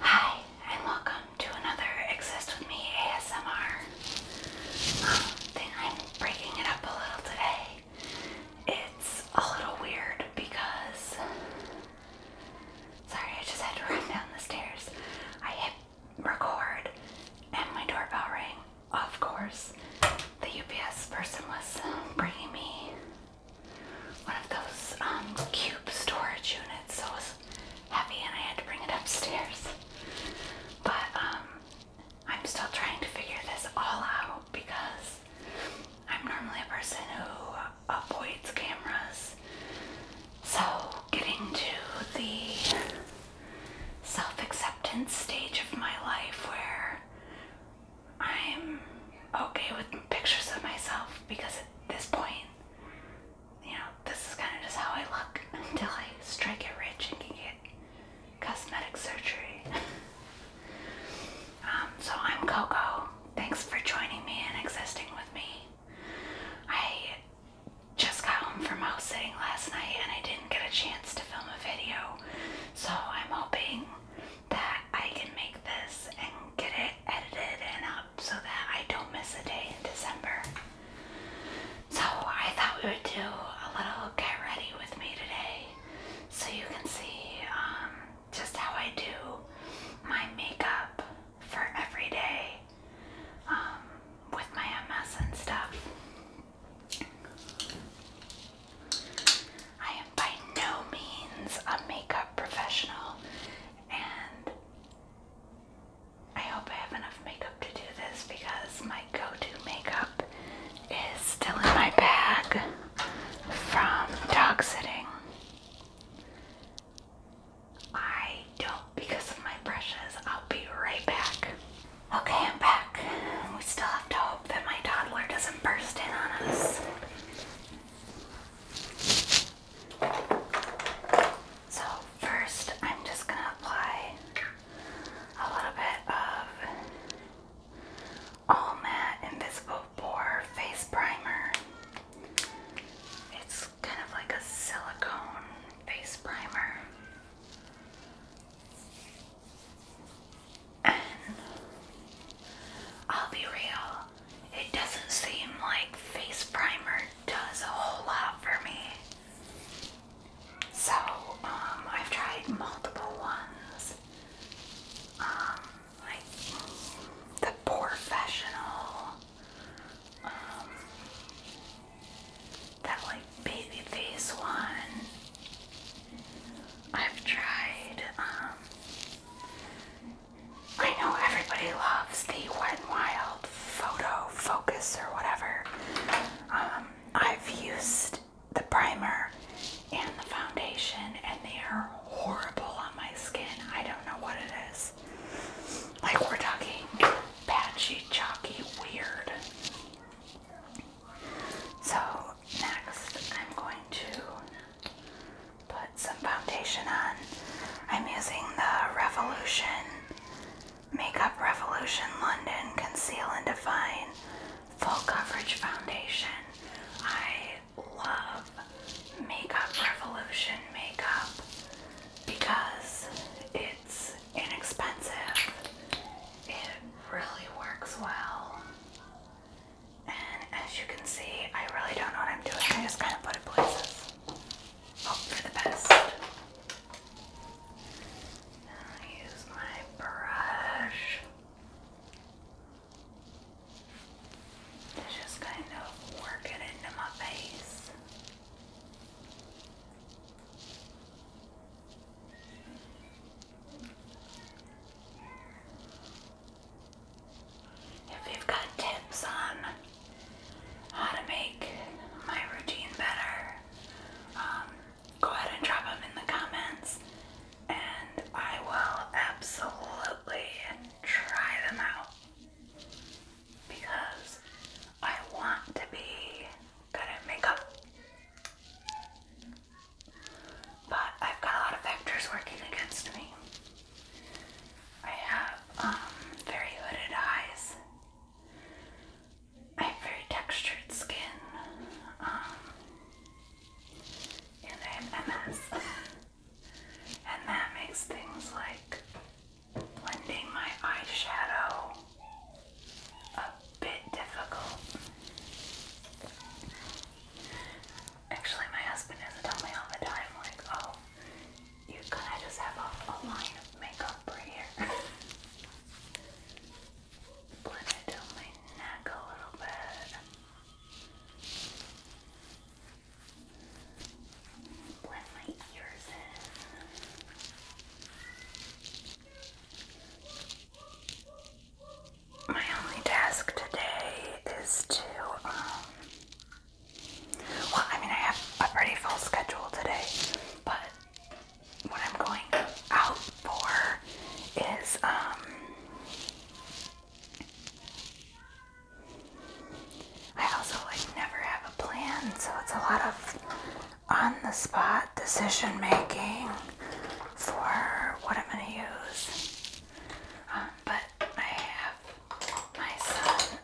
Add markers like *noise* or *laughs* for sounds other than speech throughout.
Hi, and welcome to another Exist With Me ASMR. Um, I'm breaking it up a little today. It's a little weird because. Sorry, I just had to *laughs* run down the stairs. I hit record and my doorbell rang. Of course, the UPS person was bringing me one of those um, cube storage units, so it was heavy and I had to bring it upstairs. But um, I'm still trying to figure this all out because I'm normally a person who avoids cameras. So getting to the self-acceptance stage of my life where I'm okay with pictures of myself because at this point you know, this is kind of just how I look *laughs* until I strike it rich and can get cosmetic surgery. *laughs* Um, so I'm Coco. Thanks for joining me and existing with me. I just got home from house sitting last night and I didn't get a chance to film a video, so I'm hoping that I can make this and get it edited and up so that I don't miss a day in December. So I thought we would do a little get ready with me today so you can see um, just how I do my makeup for every day um, with my MS and stuff. I am by no means a makeup professional and I hope I have enough makeup to do this because my go-to makeup is still in my bag from dog sitting. I don't because of my brushes. I'll be right back. Okay, I'm back. We still have to hope that my toddler doesn't burst in on us. So, first, I'm just going to apply a little bit of All Matte Invisible Pore Face Primer. It's kind of like a silicone face primer. And I'll be real, it doesn't seem like face primer does a whole lot for me. So, um, I've tried multiple ones. Um, like the professional, um, that like baby face one. I've tried, I know everybody loves the Wet n Wild Photo Focus or whatever. Um, I've used the primer and the foundation, and they are horrible on my skin. I don't know what it is. Like, we're talking patchy, chalky, weird. So, next, I'm going to put some foundation on. I'm using the Revolution Makeup Revolution London Conceal and Define Full Coverage Foundation. I love Makeup Revolution makeup because it's inexpensive, it really works well, and as you can see, I really don't know what I'm doing. I just kind of put it places. Hope for the best. I use my brush to just kind of work it into my face. If you've got tips on how to make my routine better, um, go ahead and drop them in the comments and I will absolutely try them out because I want to be good at makeup. But I've got a lot of factors working against me. I have um, very hooded eyes. I have very textured skin. Um, and I have MS. and that makes things like blending my eyeshadow a bit difficult. Actually, my husband has to me all the time, like, oh, you could I just have a, a line of makeup right here. *laughs* Blend it down my neck a little bit. Blend my ears in my only task today is to, um, well, I mean, I have a pretty full schedule today, but what I'm going out for is, um, I also like never have a plan, so it's a lot of on the spot decision making for what I'm going to use. Um, but I have my son,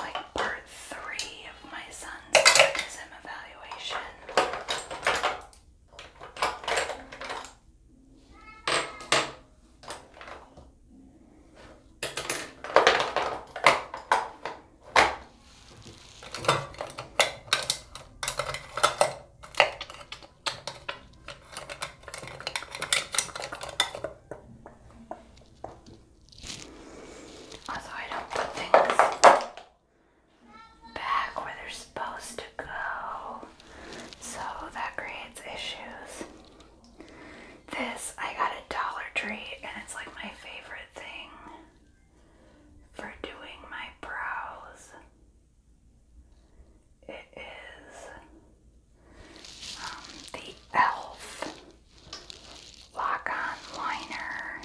like part three of my son's autism evaluation. Also, I don't put things back where they're supposed to go, so that creates issues. This I got a Dollar Tree, and it's like my favorite thing for doing my brows. It is um, the e.l.f. Lock-On Liner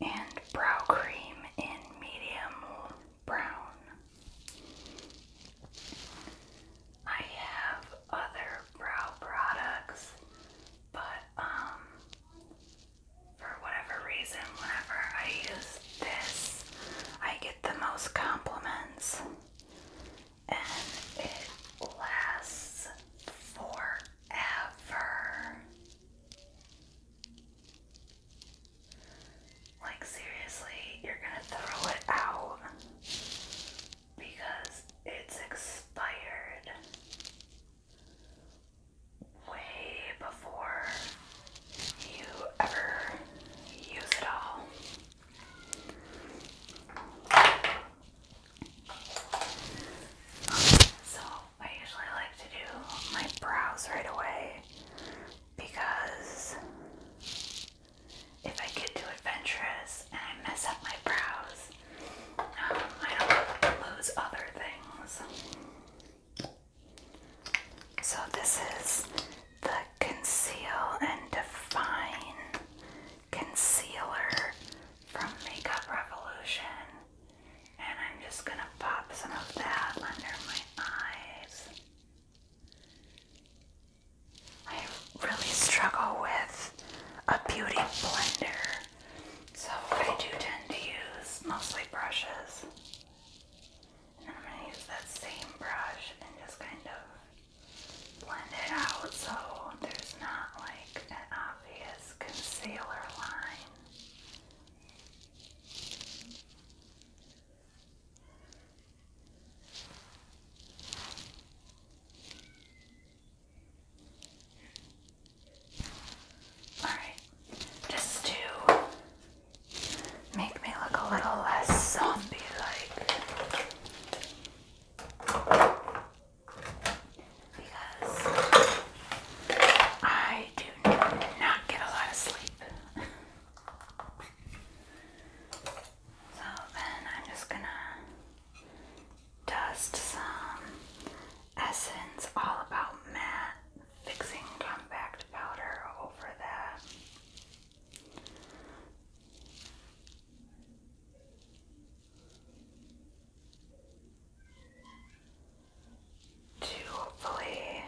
and Brow Cream in Medium Brown. I have other brow products, but um, for whatever reason, whenever I use this, I get the most compliments, and it lasts forever. Like, seriously, you're gonna throw it out because it's expired way before you ever use it all. So, I usually like to do my brows right away because if I get too adventurous and I mess up my brows, um, I don't lose other things. So this is the Conceal and Define Concealer from Makeup Revolution. And I'm just going to pop some of that under my eyes. I really struggle with a beauty blender, so I do tend to use mostly brushes. And I'm going to use that same brush and just kind of blend it out so there's not like an obvious concealer line. Alright, just to make me look a little less zombie like. Because I do not get a lot of sleep. so then I'm just gonna dust some Essence All About Matte fixing compact powder over that. To hopefully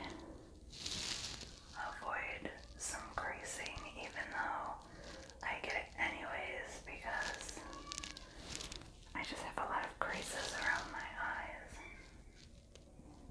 avoid some creasing, even though I get it anyways because I just have a lot of creases around my eyes.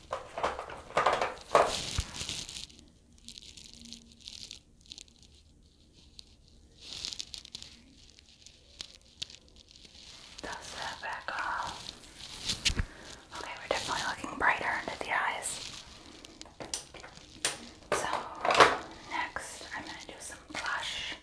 Dust that Okay, we're definitely looking brighter under the eyes. So, next I'm going to do some blush.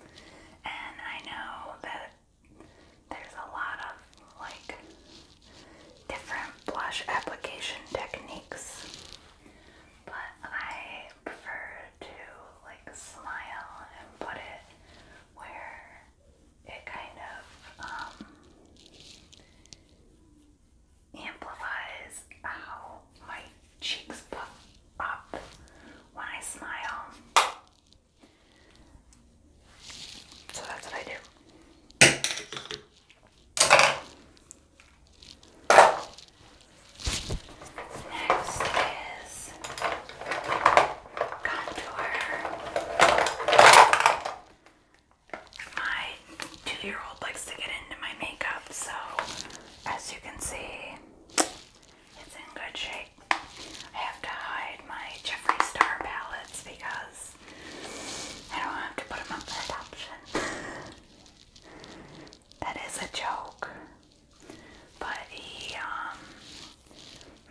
And I know that there's a lot of like different blush application techniques, but I prefer to like smile and put it where it kind of um, amplifies how my cheeks pop up when I smile. So that's what I do. Next is contour my two-year-old likes to get into my makeup, so as you can see, it's in good shape. I have to hide my Jeffree Star palettes because I don't have to put them up for adoption. *laughs* that is a joke. But he um,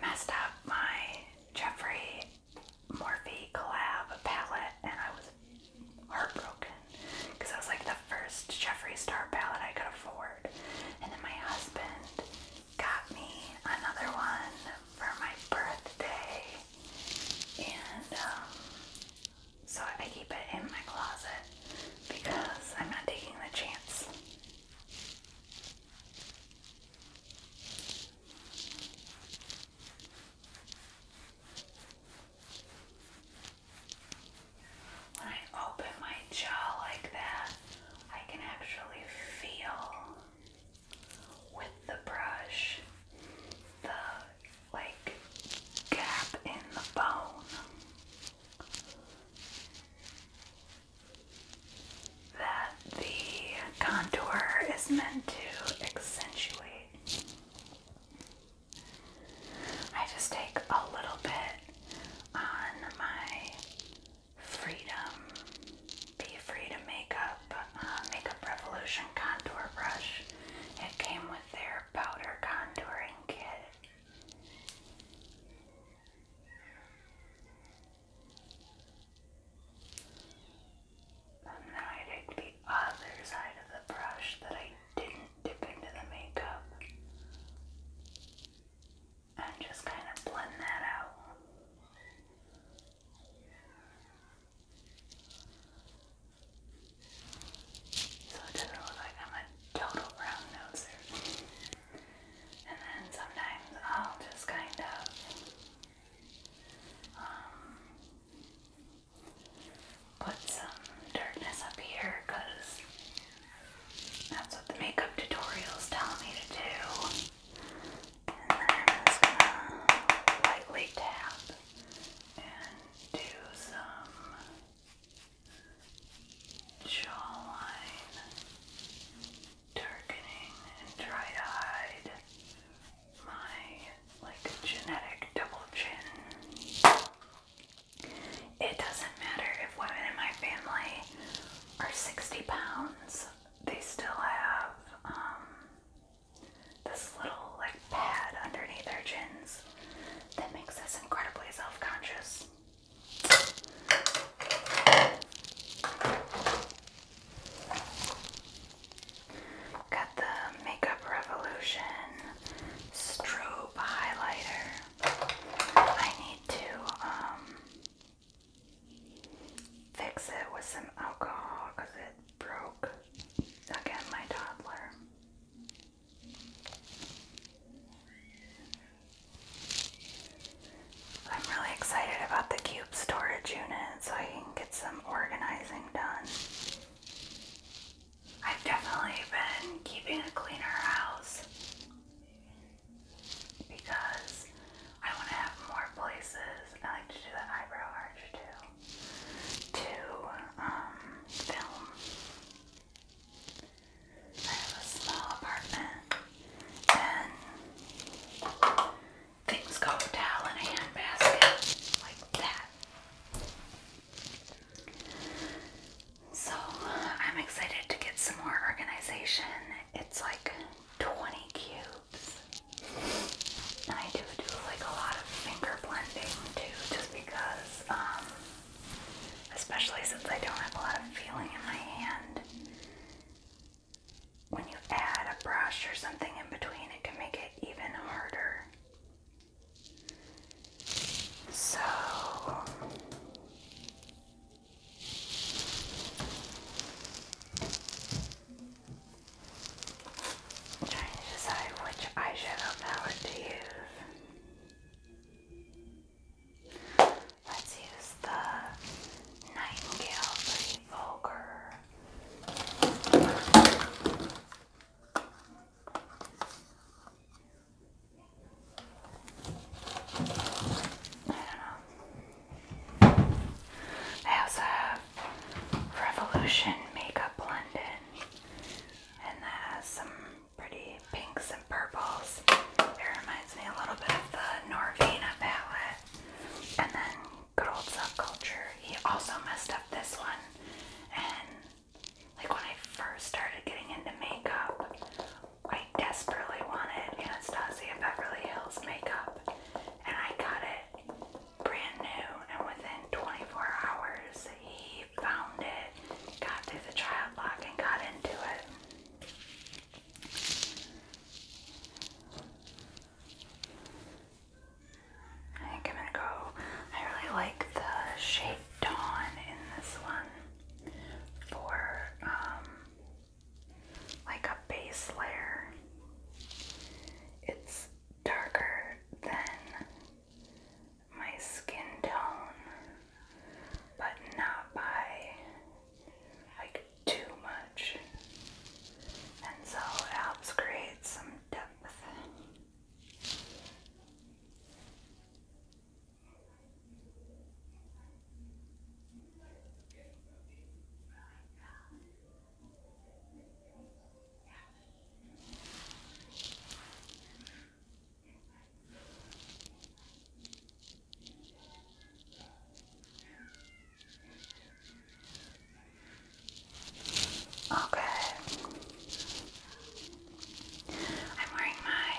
messed up my Jeffree Morphe collab palette, and I was heartbroken because that was like the first Jeffree Star palette I could afford. And then my husband got me another one for my birthday, and um, so I keep it in my closet because I'm not taking the chance. When I open my jaw like that, I can actually feel with the brush the like gap in the bone that the contour is meant to accentuate. I just take a little bit on my Freedom, Be Free to Makeup uh, Makeup Revolution contour brush. It came with their powder contouring kit. And now I take the other side of the brush that I didn't dip into the makeup and just kind of blend that out. So it doesn't look like I'm a total brown noser. and then sometimes I'll just kind of um, put some darkness up here that's what the makeup tutorial is telling me to do. And then lightly tap and do some jawline targeting and try to hide my like genetic double chin. It doesn't matter if women in my family are 60 pounds, they still have um, this little like pad underneath their chins that makes us incredibly self-conscious. Got the Makeup Revolution strobe highlighter. I need to um, fix it with some alcohol because it broke again my toddler. I'm really excited about the cube storage unit so I can get some organizing done. I've definitely been keeping a cleaner house because I want to have more places. I like to do the eyebrow arch too. To um, film. I have a small apartment things go down in a handbasket like that. So I'm excited to get some more organization. It's like 20 cubes. I do do like a lot of finger blending too, just because, um, especially since I don't have a lot of feeling in my hand when you add a brush or something in between, it can make it even harder. So, trying to decide which eyeshadow palette to use. Let's use the Nightingale Pretty Vulgar. I don't know. I also have Revolution Makeup London, and that has some pretty pinks and purples. It reminds me a little bit of the Norvina palette. And then good old subculture. He also messed up this one. And like when I first started getting into makeup, I desperately wanted Anastasia Beverly Hills makeup. And I got it brand new. And within 24 hours, he found it, got through the child lock, and got into it. I think I'm gonna go. I really like the shade Dawn in this one for um, like a base layer. It's darker than my skin tone, but not by like too much, and so it helps create some depth. Okay. I'm wearing my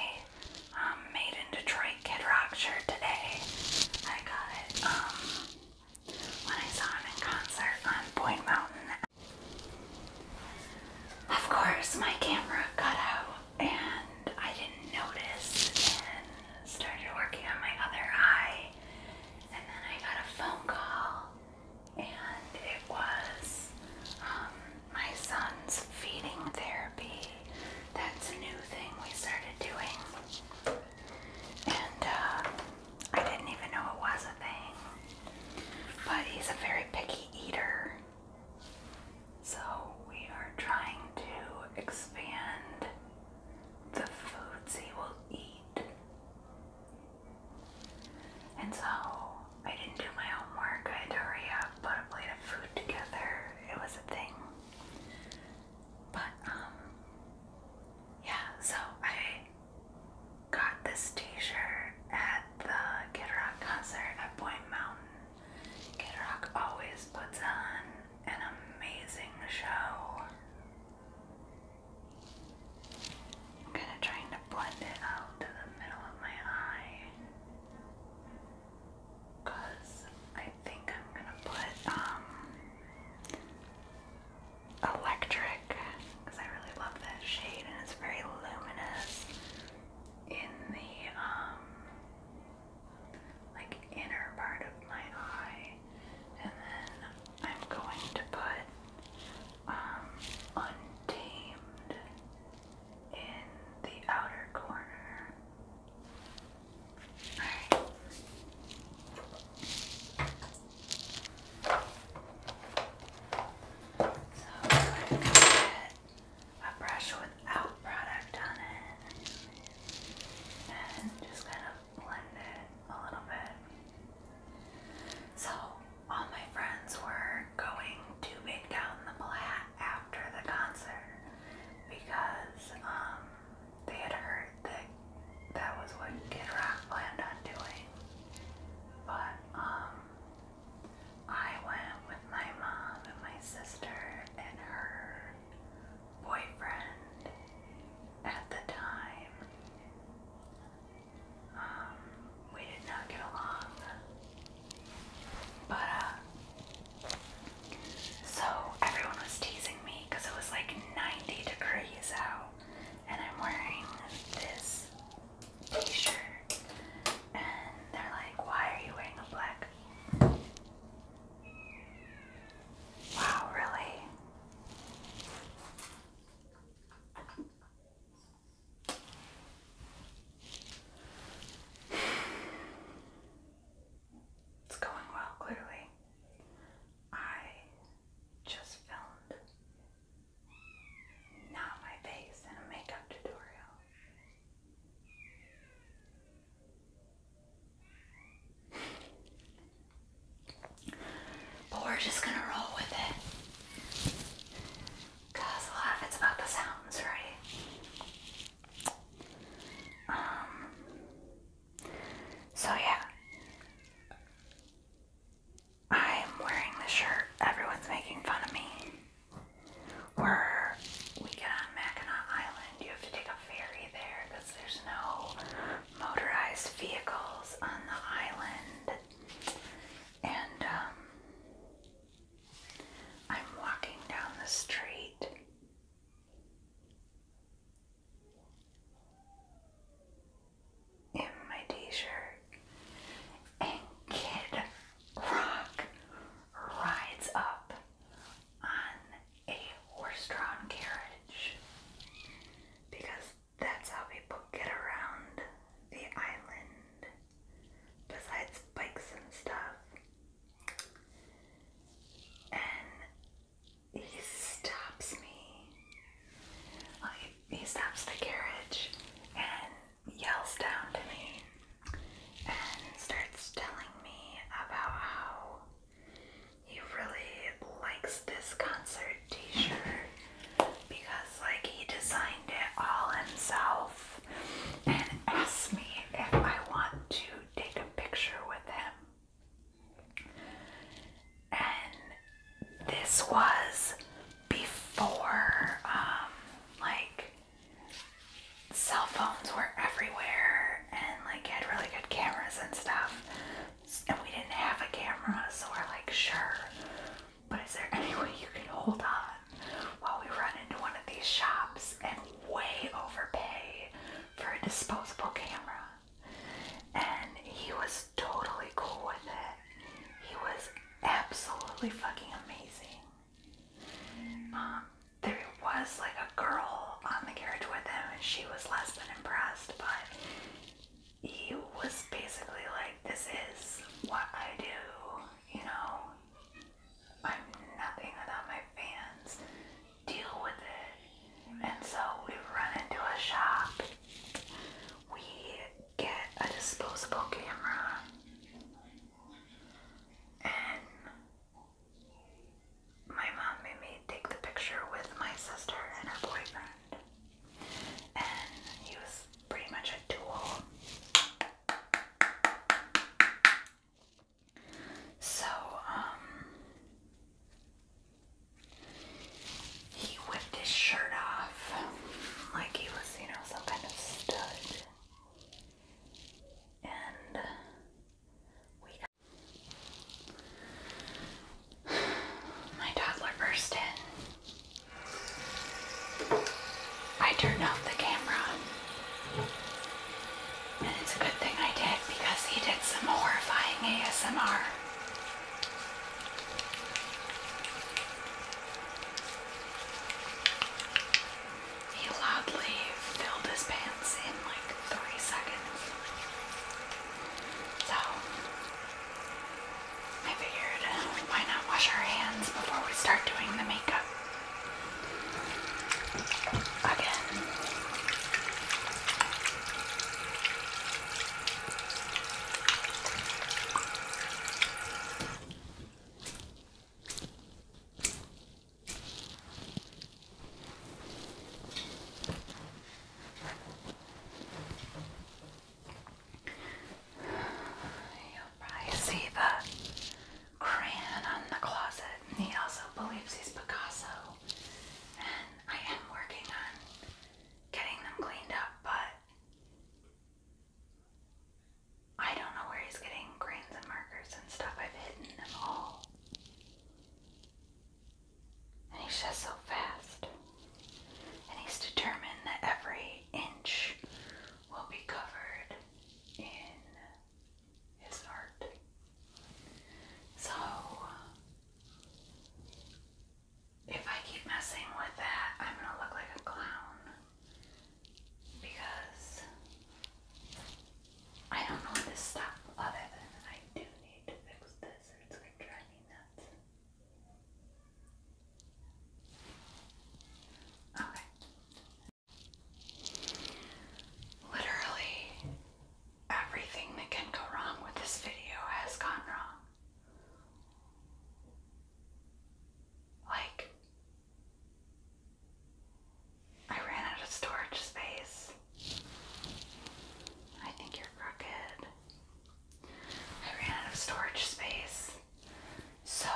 um, Made in Detroit Kid Rock shirt today. I got um, when I saw him in concert on Point Mountain. Of course, my camera cut out and I didn't notice and started working on my other eye. And then I got a phone call, and it was um, my son's feeding therapy. That's a new thing we started doing. And uh, I didn't even know it was a thing. But he's a very picky eater. So we are trying to expand the foods he will eat. And so I didn't do my homework. I had hurry up, put a plate of food together. It was a thing. But, um, yeah, so I got this t shirt at the Kid Rock concert at Point Mountain. Kid Rock always puts on an amazing show. I'm kind of trying to blend it out to the middle of my eye. Because I think I'm going to put um, electric, because I really love that shade and it's very luminous in the um, like inner part of my eye, and then I'm going to put um, untamed in the outer corner. All right. So I'm going to get a brush without product on it and just kind of blend it a little bit. So, all my friends were going to Big Down the Platte after the concert because um, they had heard that that was what Kid Rock planned on doing. But um, I went with my mom and my sister and her boyfriend at the time. Um, we did not get along. But, uh, so everyone was teasing me because it was like 90 degrees out, and I'm wearing this t shirt, and they're like, Why are you wearing a black Wow, really? It's going well, clearly. I just filmed not my face in a makeup tutorial. But we're just gonna roll with it. Cause a lot of it's about the sounds, right? Um so yeah. I'm wearing the shirt. Everyone's making fun of me where we get on Mackinac Island, you have to take a ferry there because there's no motorized vehicles on the island. And um, I'm walking down the street. In my t-shirt, and Kid Rock rides up on a horse-drawn carriage because that's how people get around the island besides bikes and stuff. And he stops me. Like, he stops the carriage and yells down to me and starts telling me about how he really likes this concert t-shirt because like he designed it all himself and asked me if I want to take a picture with him. And this was before um like cell phones were everywhere and like had really good cameras and stuff. And we didn't have a camera, so we're like, sure. But is there *laughs* any way you can hold on while we run into one of these shops and way overpay for a disposable camera? And he was totally cool with it. He was absolutely fucking amazing. Um, there was like a girl on the carriage with him, and she was less than impressed, but he was basically like, This is what I do, you know, I'm nothing without my fans, deal with it. And so we run into a shop, we get a disposable camera. And my mom made me take the picture with my sister and her boyfriend, and he was pretty much a tool. So, um, he whipped his shirt off like he was, you know, some kind of stud and we. *sighs* My toddler burst in. I turned off the camera. And it's a good thing I did because he did some horrifying ASMR. He loudly filled his pants in like three seconds. So, I figured why not wash our hands before we start doing the makeup? Again. You'll probably see the crayon on the closet. he also believes he's Picasso. And I am working on getting them cleaned up, but I don't know where he's getting grains and markers and stuff. I've hidden them all. And he's just so fast. And he's determined that every inch will be covered in his art. So, if I keep messing with that, I'm gonna look like a clown because I don't know what this stuff other than I do need to fix this it's going to me nuts. Okay. Literally everything that can go wrong with this video has gone wrong. Like, I ran out of storage space. I think you're crooked. I ran out of storage space. So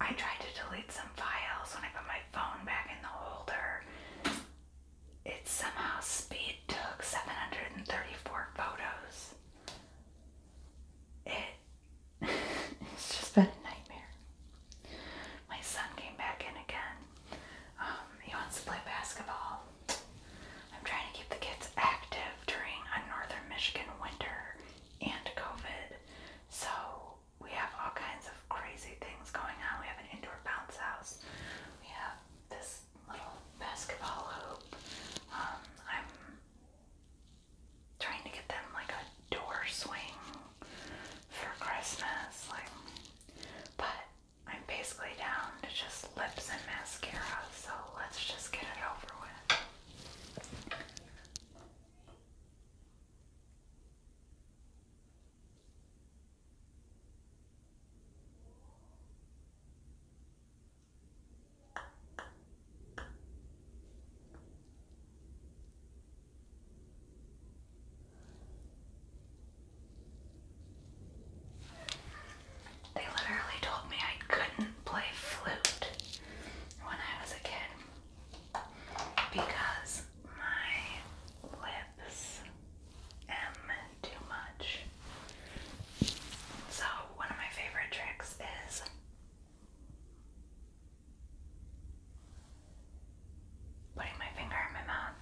I tried to delete some files when I put my phone back in the holder. It somehow speed took 734 photos it, *laughs* it's just been a nightmare. My son came back in again. Um, he wants to play basketball. I'm trying to keep the kids active during a northern Michigan winter and COVID. So we have all kinds of crazy things going on. We have an indoor bounce house. We have this little basketball hoop. Um, I'm trying to get them like a door swing for Christmas. Like, but I'm basically down to just lips and mascara, so let's just get it over with. They literally told me I couldn't play flute when I was a kid because my lips am too much. So, one of my favorite tricks is Putting my finger in my mouth.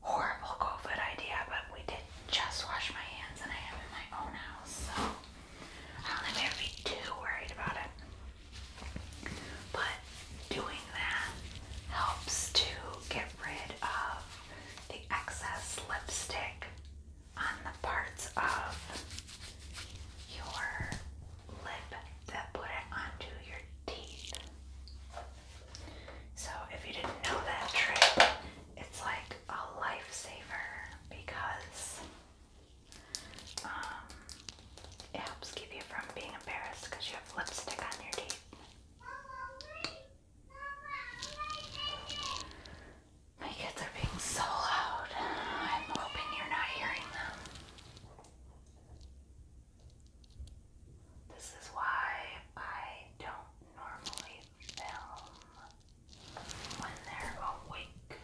Horrible COVID idea, but we did just wash my hands and I am in my own house, so I don't think we have be too worried about it. But doing that helps to get rid of the excess lipstick on the parts of your lip that put it onto your teeth. So if you didn't know that trick, it's like a lifesaver because um, it helps keep you from being embarrassed because you have lipstick on your teeth. My kids are being so loud. I'm hoping you're not hearing them. This is why I don't normally film when they're awake.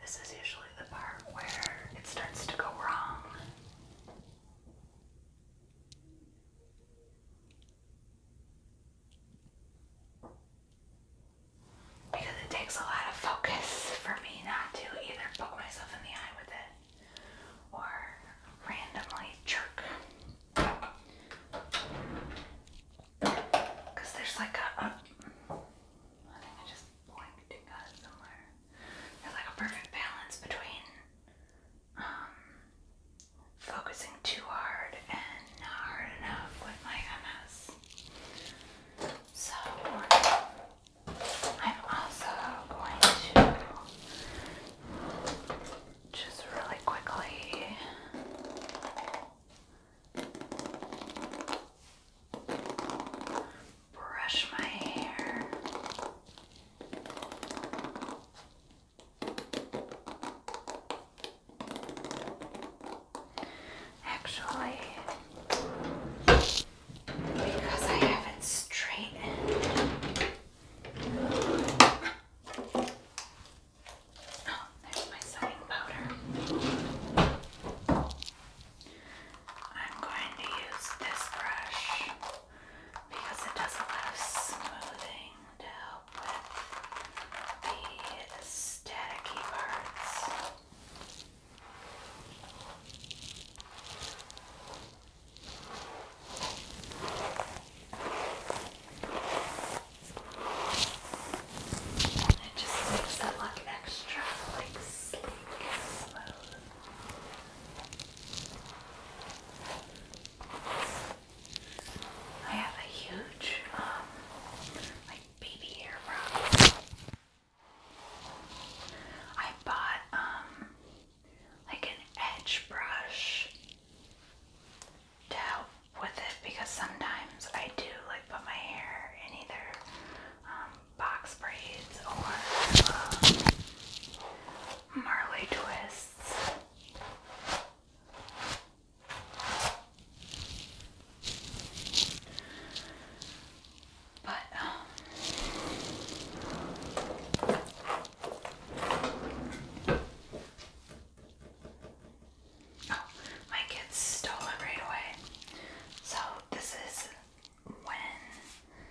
This is usually the part where it starts to go wrong. Because it takes a lot of focus for me not to either poke myself in the eye with it or randomly jerk. Because there's like a, a. Uh, I think I just blinked and got it somewhere. There's like a perfect balance between um, focusing too hard and not hard enough with my MS. So, I'm also going to just really quickly brush my hair. Actually, because I haven't straightened. Oh, there's my setting powder. I'm going to use this brush because it does a lot of smoothing to help with the staticky parts. It just makes it look extra like sleek I have a huge, um, like baby hair I bought, um, like an edge brush to help with it because sometimes I do like put my hair in either um, box braids or um, Marley twists. But um, oh, my kids stole it right away. So this is when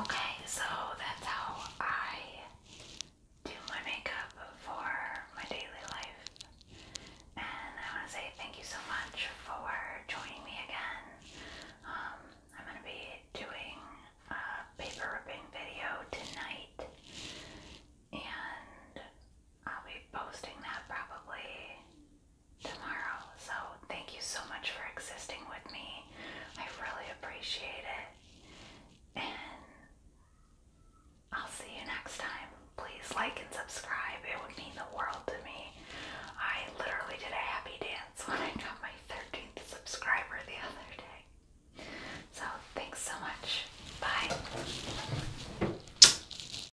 Okay, so that's how I do my makeup for my daily life. And I want to say thank you so much for joining me again. Um, I'm going to be doing a paper ripping video tonight. And I'll be posting that probably tomorrow. So, thank you so much for existing with me. I really appreciate it. And I'll see you next time. Please like and subscribe, it would mean the world to me. I literally did a happy dance *laughs* when I got my 13th subscriber the other day. So, thanks so much. Bye.